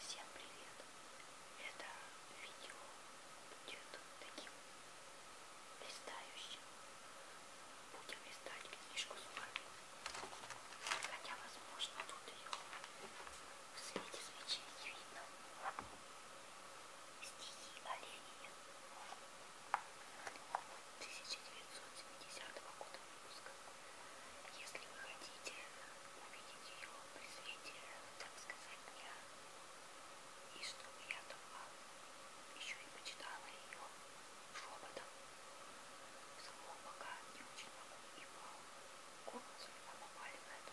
Всем привет! Это видео будет таким листающим. Будем листать книжку с вами. Хотя, возможно, тут ее в свете свечей не видно. Стихи оленей. 1970 года выпуска. Если вы хотите увидеть ее при свете, так сказать, дня, и чтобы я только а, еще и почитала ее шепотом, самого пока не очень могу, ибо голос у меня наваливает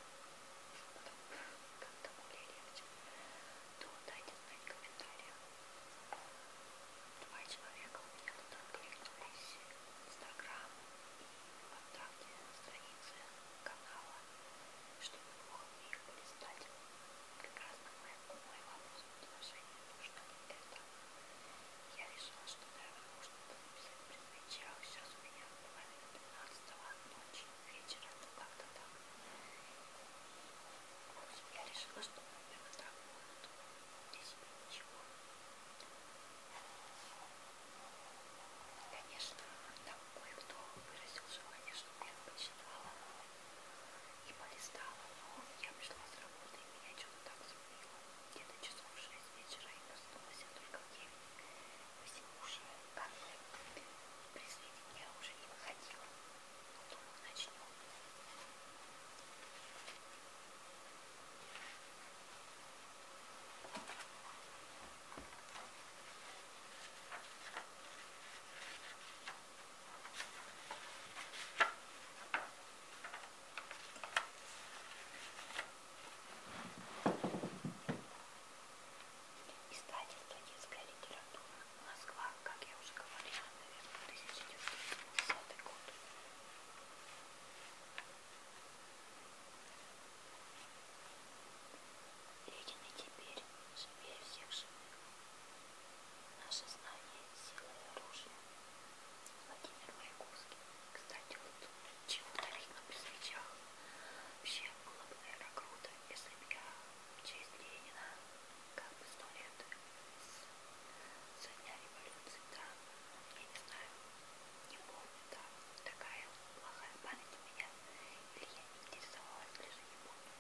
шепотом как-то более легче, то дайте знать в комментариях. Два человека у меня тут откликнулись, Инстаграм и контакте, странице канала, чтобы вы могли их полистать. Прекрасно мой, мой вопрос в отношении нужно ли это. Я решила, что, наверное, можно было написать предмечал. Сейчас у меня половина 12 ночи, вечера, ну как-то так. В общем, я решила, что, наверное, так будет для себя ничего. Конечно, там кое-кто выразил желание, чтобы я почитала и полистала, но я пришла с работы, и меня что-то так забыло. Где-то часов в 6 вечера и проснулась я только в 9. Посему уже как бы при свете я уже не выходила. Ну, думаю, начнем. Издательство «Детская литература». Москва, как я уже говорила, наверное, 1970 год. Единый теперь, живее всех живых. Наше знание – сила и оружие. Владимир Маяковский. Кстати, вот чего-то видно при свечах. Вообще было бы, наверное, круто, если бы я в честь Ленина как бы сто лет со дня революции, да, я не знаю, не помню, да. Такая плохая память у меня. Или я не интересовалась, даже не помню.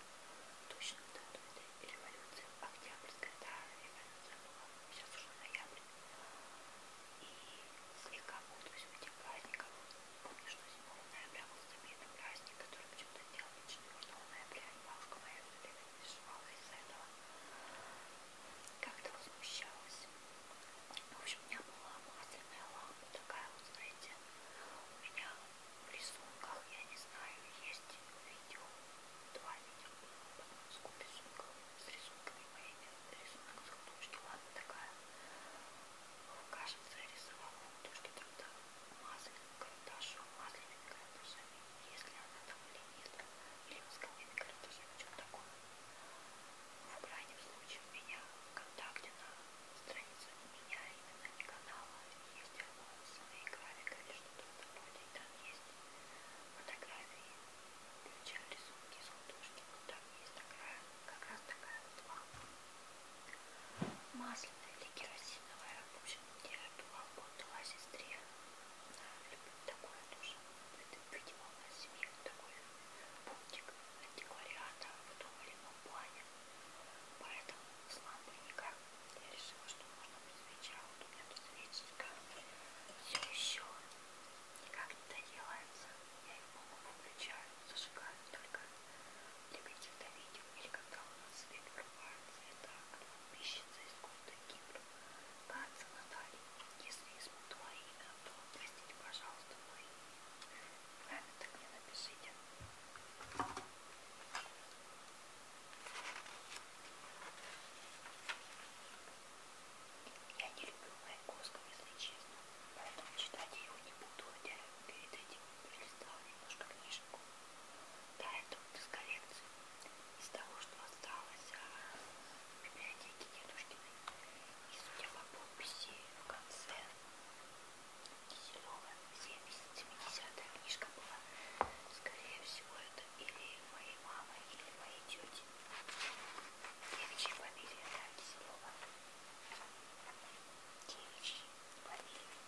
Точно дату этой революции. Октябрьская, да, революция была. Сейчас уже ноябрь. И слегка путаюсь в этих праздниках. Помню, что 7 ноября был забитый праздник, который почему-то делал 4 ноября. И бабушка моя все время переживала из-за этого как-то возмущалась. В общем, у меня была масляная лампа, такая вот, знаете, у меня в рисунках, я не знаю, есть видео, два видео по Донецку рисунков, с рисунками моими, рисунок захнушки, ладно, такая, кажется, я рисовала то, что там-то масляным карандашом, масляными карандашами, если она там или нет, или мы с коллегами городки, в чем таком. В крайнем случае у меня в контакте на странице у меня именно не канала а есть анонсы и графика или что-то в этом роде, и там есть фотографии, включая рисунки из художки, но там есть такая, как раз такая вот лампа масляная или керосиновая, в общем, где была, отдала сестре любит такое тоже. Это, видимо, у нас в семье такой пунктик антиквариата в том или ином плане. Поэтому с лампой никак. Я решила, что можно быть свеча. Вот у меня тут свечечка все еще никак не доделается. Я ее, по-моему, включаю, зажигаю только для каких-то видео или когда у нас свет врывается. Это от подписчицы из города Кипр. Кажется, Наталья, если измут твое имя, то простите, пожалуйста, мои имя так мне напишите. Я не люблю Маяковского, если честно, поэтому читать я его не буду, хотя перед этим перелистала немножко книжку. Да, это вот из коллекции. Из того, что осталось в а, библиотеке дедушкиной. И судя по подписи в конце Киселева 70-70 книжка была. Скорее всего, это или моей мамы, или моей тети. Девичьи фамилии, да, Киселева. Девичьи фамилии.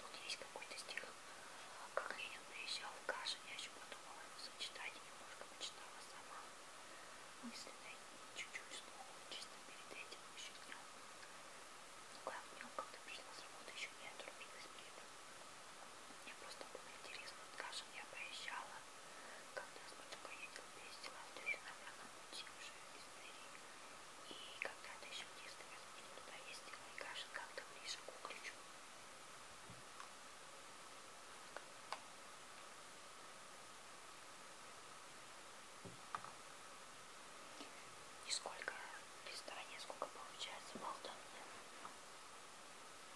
Тут есть какой-то стих как Ленин приезжал в Кашин, я еще подумала его ну, сочетать и немножко почитала сама. Мысленно и чуть-чуть слуху, чисто перед этим еще днем. Ну как днем, когда пришла с работы, еще не отрубилась при этом. Мне просто было интересно, в Кашин я проезжала, когда с батюшкой ездил, ездила, в Дюрина, на пути уже из Твери. И когда-то еще в детстве, возможно, туда ездила, и Гашин как-то ближе к Угличу. И сколько листания, сколько получается, болтовня.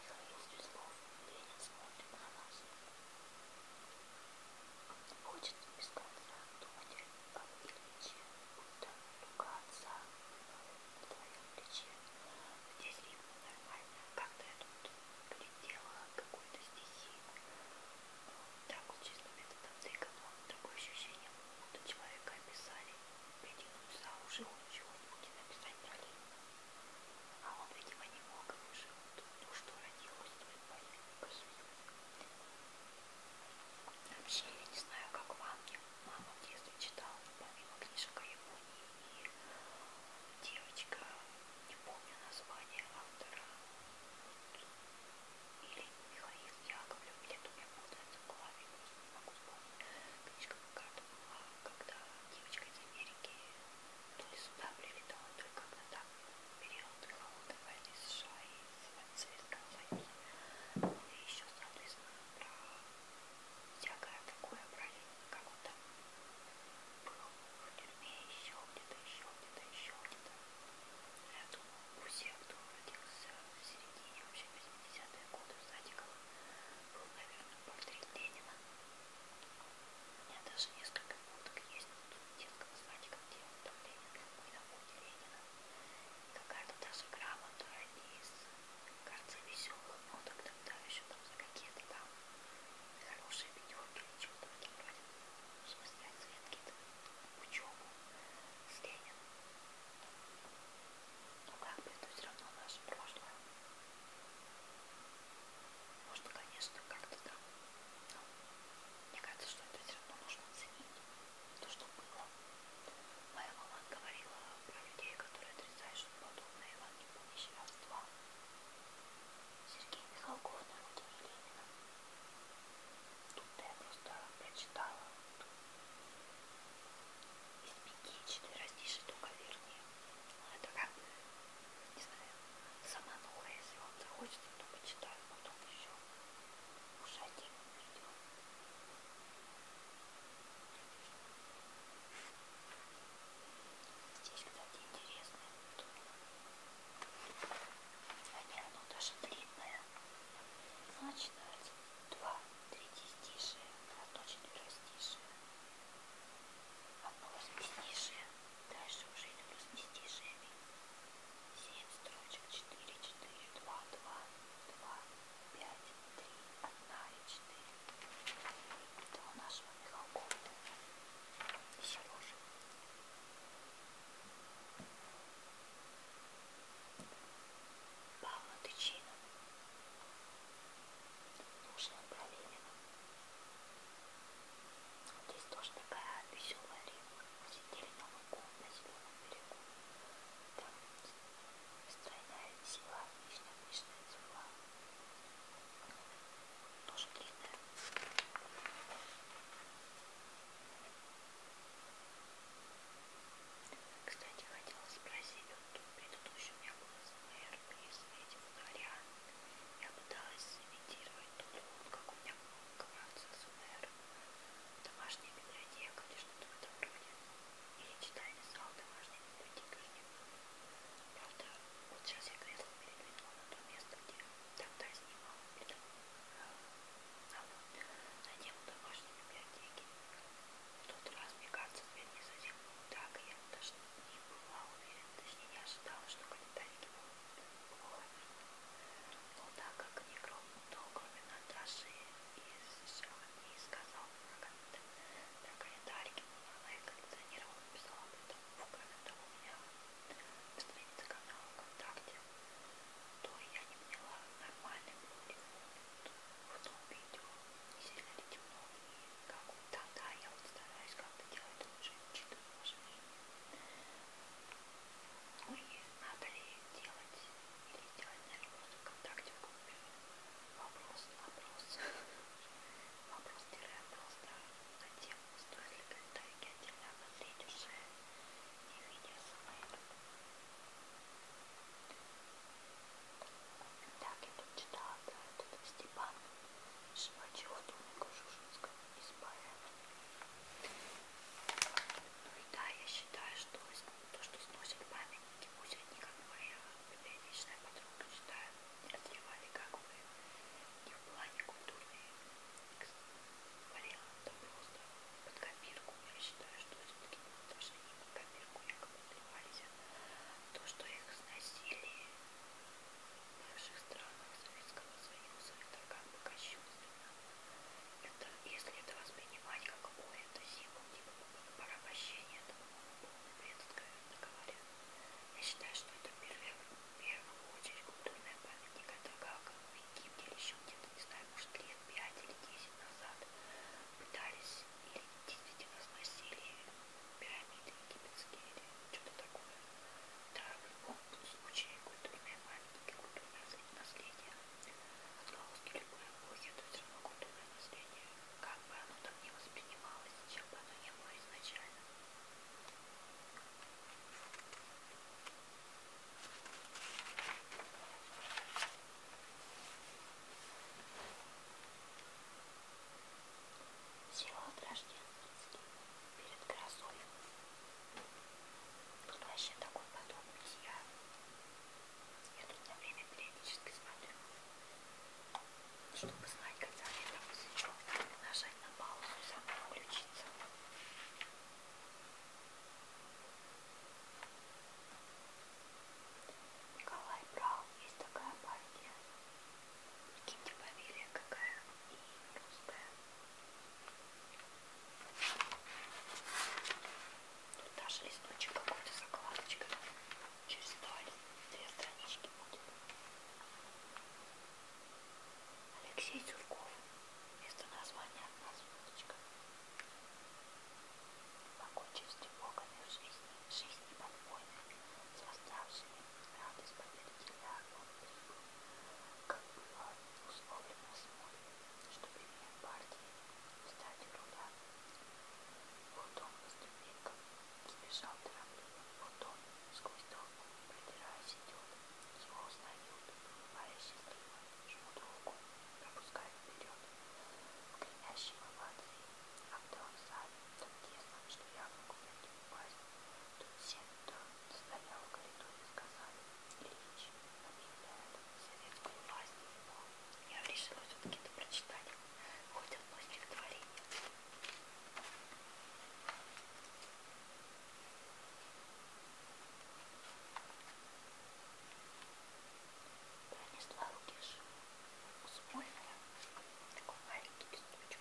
Михаил Светлов, Ленин смотрит на нас. Хочет без конца думать по плече, будто рука отца на твоем плече. Здесь ритмы нормально, как-то я тут придела какую-то стихию. Ну, так вот, чисто методом тыкану, такое ощущение, будто человека описали, притянуть за уши, он чего-нибудь написать про Ленина. А он, видимо, не мог и выжил, то, что родилось, то и появилось. Вообще, я не знаю, как вам. Мама в детстве читала, помимо книжек о Японии, и девочка, не помню название автора, или Михаил Яковлев, или у меня путается в голове, просто не могу вспомнить. Книжка какая-то была, когда девочка из Америки то ли сюда прилетала, то ли как-то так, период холодной войны США и цвета И еще, соответственно, про всякое такое проявление, как он там был в тюрьме, еще где-то, еще где-то, еще где-то. Я думаю, у всех, кто родился в середине вообще 80-е годы в садиках, был, наверное, портрет Ленина. У меня даже несколько фоток есть детского садика, где там Ленин, какой на фоне Ленина какая-то даже грамота из карты веселых ноток, тогда еще там за какие-то там хорошие пятерки или что-то в этом роде, чтобы снять свет какие-то учебу с Лениным. Но ну, как бы это все равно наше прошлое. Можно, конечно, как-то там, но мне кажется, что это все равно нужно оценить то, что было. Моя мама говорила про людей, которые отрицают, что подобное вам не помощь родства. Сергей Михалков на родине Ленина. Тут я просто прочитала. Из пяти четверостишек только вернее. Ну, это как, не знаю, сама нуха, если вам захочется, то почитаю потом еще. Ушатик. Здесь, кстати, интересно. Они, оно даже длинное. Значит, два, третье стишие, точно простишие. Одно восьмистишие, дальше уже идут восьмистишиями семь строчек четыре четыре два два два пять три одна и четыре это у нашего Михалкова Сережи Павла Тычина Нужина Проверина вот здесь тоже такая веселая рифма сидели на лугу на зеленом берегу. Там стройная сила вишня, пышная цвела. Тоже длинная. Кстати, хотела спросить, вот предыдущий у меня был СМР, и с этим дворян. Я пыталась имитировать тот звук, как у меня был Кварцинсунер, домашняя библиотека или что-то в этом роде. Или читальный зал домашней библиотеки уже не было. Правда, вот сейчас я кресло передвинула на то место, где тогда снимала фильм. А вот на тему домашней библиотеки. В тот раз, мне кажется, ответ не совсем был так, и я даже не была уверена, точнее не ожидала, что комментарий будут плохо видно. Но так как не громко долгами на дрожи и сжал и сказал на календарике на коллекционировал написал об этом в комментах у меня в странице канала ВКонтакте, то я не поняла, нормальный был ли он в том видео, не сильно ли темно и как он. Да, да, я вот стараюсь как-то делать лучше, учитывая ваше мнение. Ой, надо ли делать или делать, наверное, просто ВКонтакте в группе. Вопрос, вопрос. Вопрос тире вопрос, да. Затем стоит ли комментарии отдельно обозреть уже не видео самое. Так, я тут читала про этот Степан Шивачев, Тумика Жужинского из поэма. Ну и да, я считаю, что то, что сносят памятники, пусть они, как моя библиотечная подруга, считаю, отливали как бы не в плане культурной вариант, а просто под копирку. Я считаю, что все-таки даже не под копирку якобы отливались, а то, что их сносили в бывших странах Советского Союза, это как бы кощунственно это, если это воспринимать как ой, это символ типа порабощения, это, по-моему, полный бред, откровенно говоря. Я считаю, что это первый, в первую очередь культурная памятник, это как в Египте или еще где-то, не знаю, может лет 5 или 10 назад пытались или действительно сносили пирамиды египетские или что-то такое. Да, в любом случае будет имя маленький культурное наследие. Отголоски любой эпохи, это все равно культурное наследие. Как бы оно там не воспринималось, чем бы оно не было изначально. Села Рождественский перед грозой. Тут вообще такой подробный. Я, я тут на время периодически смотрю, чтобы знать, когда я там посвящу. Нажать на паузу и сама включиться. Николай Браун, есть такая партия. Прикиньте, фамилия какая и русская. Тут даже листочек какой-то закладочка. Через два, две странички будет. Алексей Цурков. Вместо названия одна звездочка. Покончив с тревогами в жизни, жизни подпольной, с восставшими, радость победителя огонь как было условлено с моря, что перед партией в стадию руля. Потом по ступенькам сбежал торопливо, потом сквозь толпу, продираясь идет, его узнают, улыбаясь счастливо, жмут руку, пропускают вперед, в кренящего воды, а кто он сам, так тесно, что я могу на упасть. Тут все, кто стоял в коридоре, сказали, Ильич объявляет советскую власть его. Я решила все-таки это прочитать, хоть одно стихотворение. Пронесла руки в шуму, смольная, такой маленький листочек.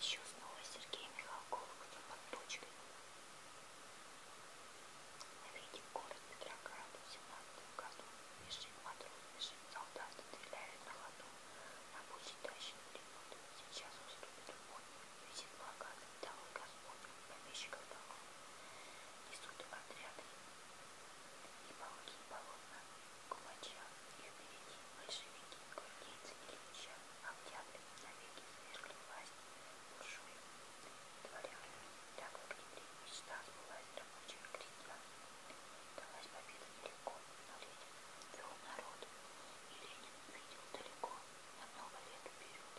Еще снова Сергей Михалков, кто под почкой. Мы видим город Петроград в 17 году. Бежит матрос, бежит солдат, стреляют на ходу. На пути тащит лимон. Сейчас уступит любовь. Висит благо, завидал Господь, помещиков долгов. Несут отряды и полки, и полотна, кумача, и впереди большевики, гвардейцы, Ильича, октябрь, навеки свергли власть, буржуи, дворян. Так в октябре мечта сбылась рабочих крестьян. Далась победа далеко, но Ленин вел народ, и Ленин видел далеко на много лет вперед.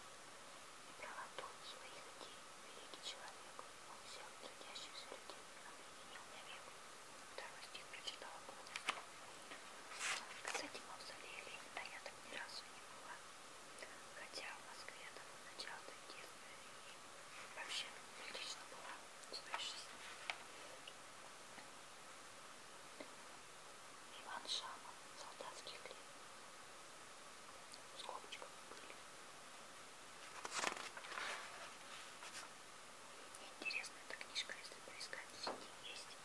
Неправоту своих идей великий человек, он всех трудящихся людей объединил навек. Второй стих прочитала полностью. Кстати, мавзолея Ленина я так ни разу не была. Хотя в Москве там начало детства и вообще прилично была в своей жизни. Иван Шамов, солдатских лет. В скобочках были. Интересно, эта книжка, если поискать, в сети есть.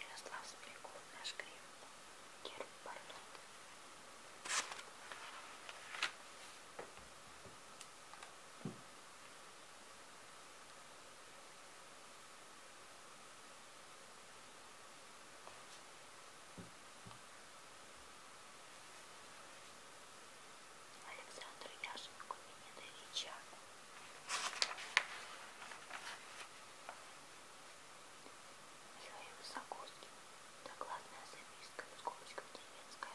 Ярослав Смиряков, наш грим, Герб Бардот. Александр Яшенко Минедовича. Михаил Загорский. Докладная записка классическая скобочка деревенская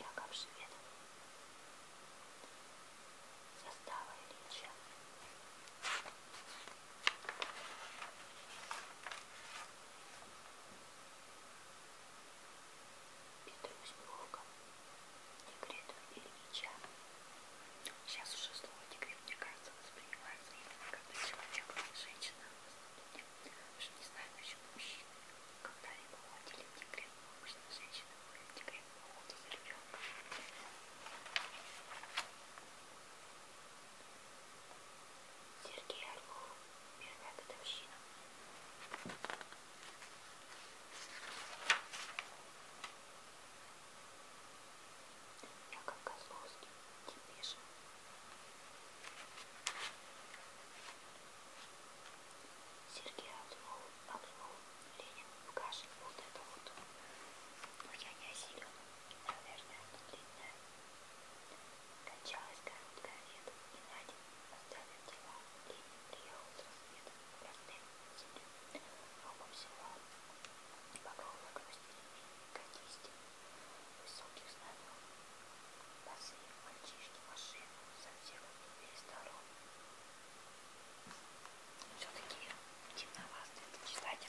Яков Швед Состава Ильича Петрусьбургом, декретом Ильича. Сейчас уже слово декрет, мне кажется, воспринимается именно когда человек, женщина, уже а не знаю насчет мужчин. Когда-либо уходили в декрет, но обычно женщины уходят в декрет по уходу за ребенком. Сергей Орлов. Мирная годовщина. Яков Козловский. Депеша. Сергей Орлов. Орлов. Ленин. В каше. Вот это вот. Но я не осилила. Наверное, это длинное. Кончалась короткая лето, и на день оставив дела, Ленин приехал с рассветом в простым землю. Кругом села багровая грусть деревень, катисти, высоких знамен, босые мальчишки, машины со всех дверей сторон. Все-таки темновато это читать.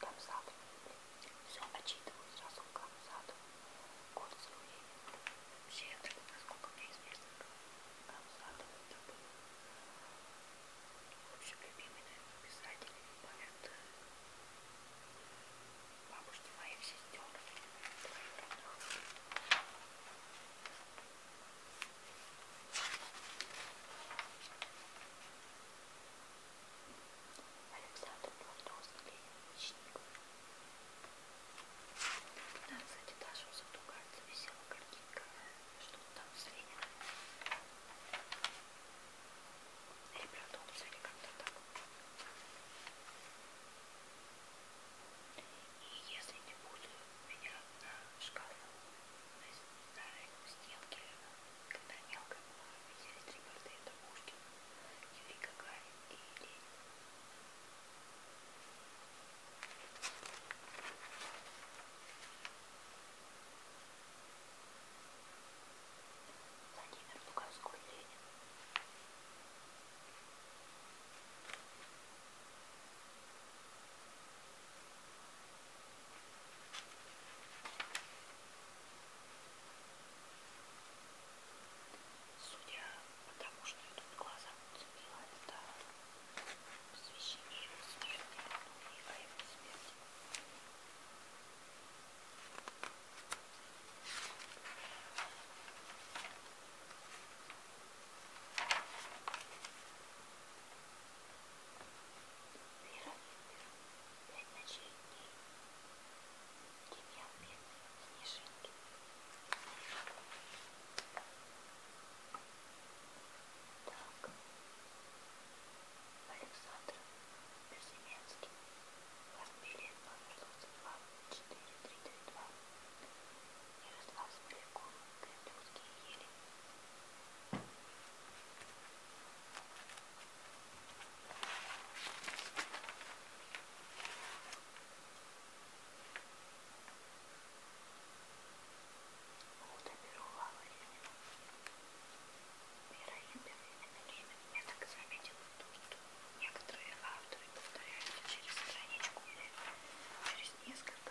Камзат. Все отчитываю сразу в Камзату. Курс ей. Вообще, насколько мне известно, Камзатов это был, в общем, любимый, наверное, писатель и поэт бабушки моих сестер. Ой, Александр Платоновский Ленин Да, кстати, даже у Сатугальца висела картинка, что там с Лениным. Или Платоновцы, или как-то так. И если не буду меня на шкафу, на, на стенке когда мелкой была, есть ребята, это Пушкин, Юрий Гагарин и Ленин. Владимир Луговской Ленин. Судя по тому, что я тут глаза уцепила, это посвящение его смерти, и о его смерти. Вера Випер, пять ночей и дней. Демьян Бедный, Снежинки. Так. Александр Безыменский. Варбилет номер 22 4332. Ярослав Смоляков. Кремлевские ели. Вот обервала ее. Мироимперный менеджмент я так заметил то, что некоторые авторы повторяются через страничку или через несколько.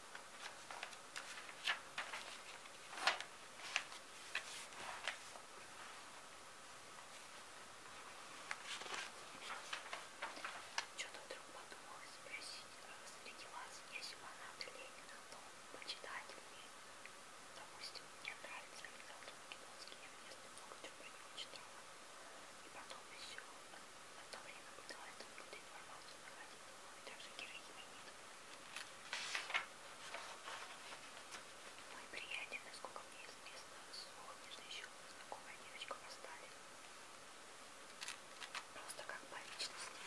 Что-то вдруг подумала спросить, среди вас есть фанаты Ленина, но почитать мне, допустим, мне нравится Александр Македонский, я вместо много чего про него читала. И потом еще одно время пыталась какую-то информацию находить, но и также героиня не мой приятель, насколько мне известно, слух между еще знакомая девочка поставили. Просто как по личности.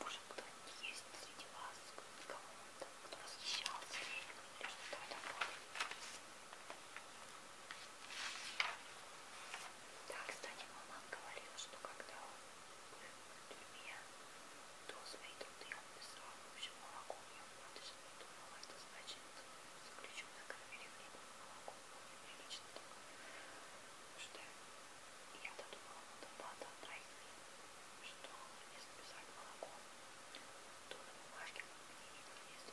Может, кто-нибудь есть среди вас, кого-то, кто восхищался ей или что-то такое. Да, кстати, мама говорила, что когда он был в тюрьме, то свои труды он писал, в общем, молоком. Я просто подумала, это значит, заключенные кормили хлебом молоком, было прилично так. Потому что я-то думала, надо плата тройки, что если писать молоком, то на бумажке, как мне видно, если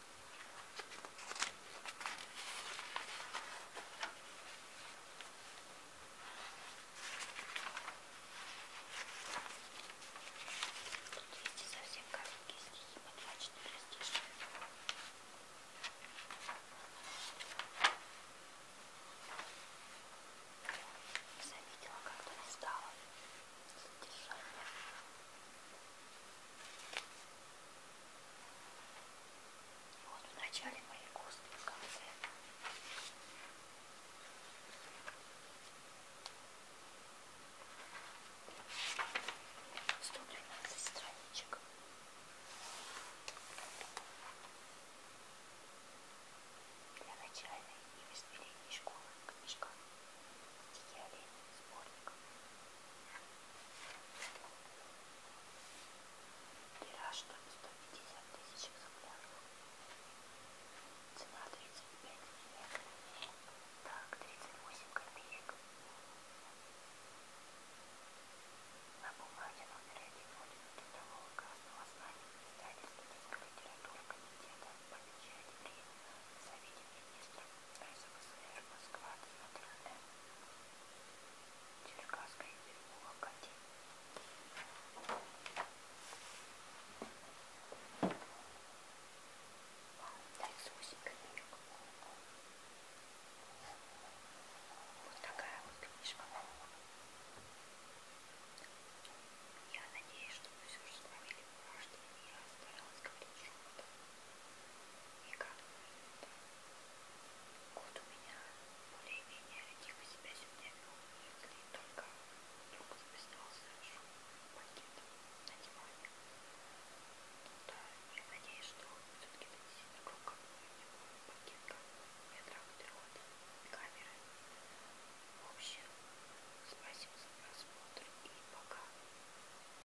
Тут есть и совсем короткие стихи, подлачные растения. Заметила, как ты устала. Задержание. Он в начале моей косты, в конце. Сто двенадцать страничек. Для начальной и воспитания школы книжка. Дикий олень, сборник. Тираж там 150 тысяч экземпляров. Цена 35 лет. Так, 38 копеек. На бумаге номер один Ордена Трудового Красного Знамени издательства детской литературы комитета помечает время Совете Министров СССР, Москва, 9 М. Черкасская переулок 1. Дай Сусик книжку. Вот такая вот книжка. Я надеюсь, что вы все же словили мурашки, и я старалась говорить шепотом. И как думаете, кот у меня более-менее тихо себя сегодня вел, если только вдруг записался шум пакета на диване. Ну да, я надеюсь, что все-таки донесет на круг какой-нибудь пакетка метрах трех от камеры. В общем, спасибо за просмотр и пока.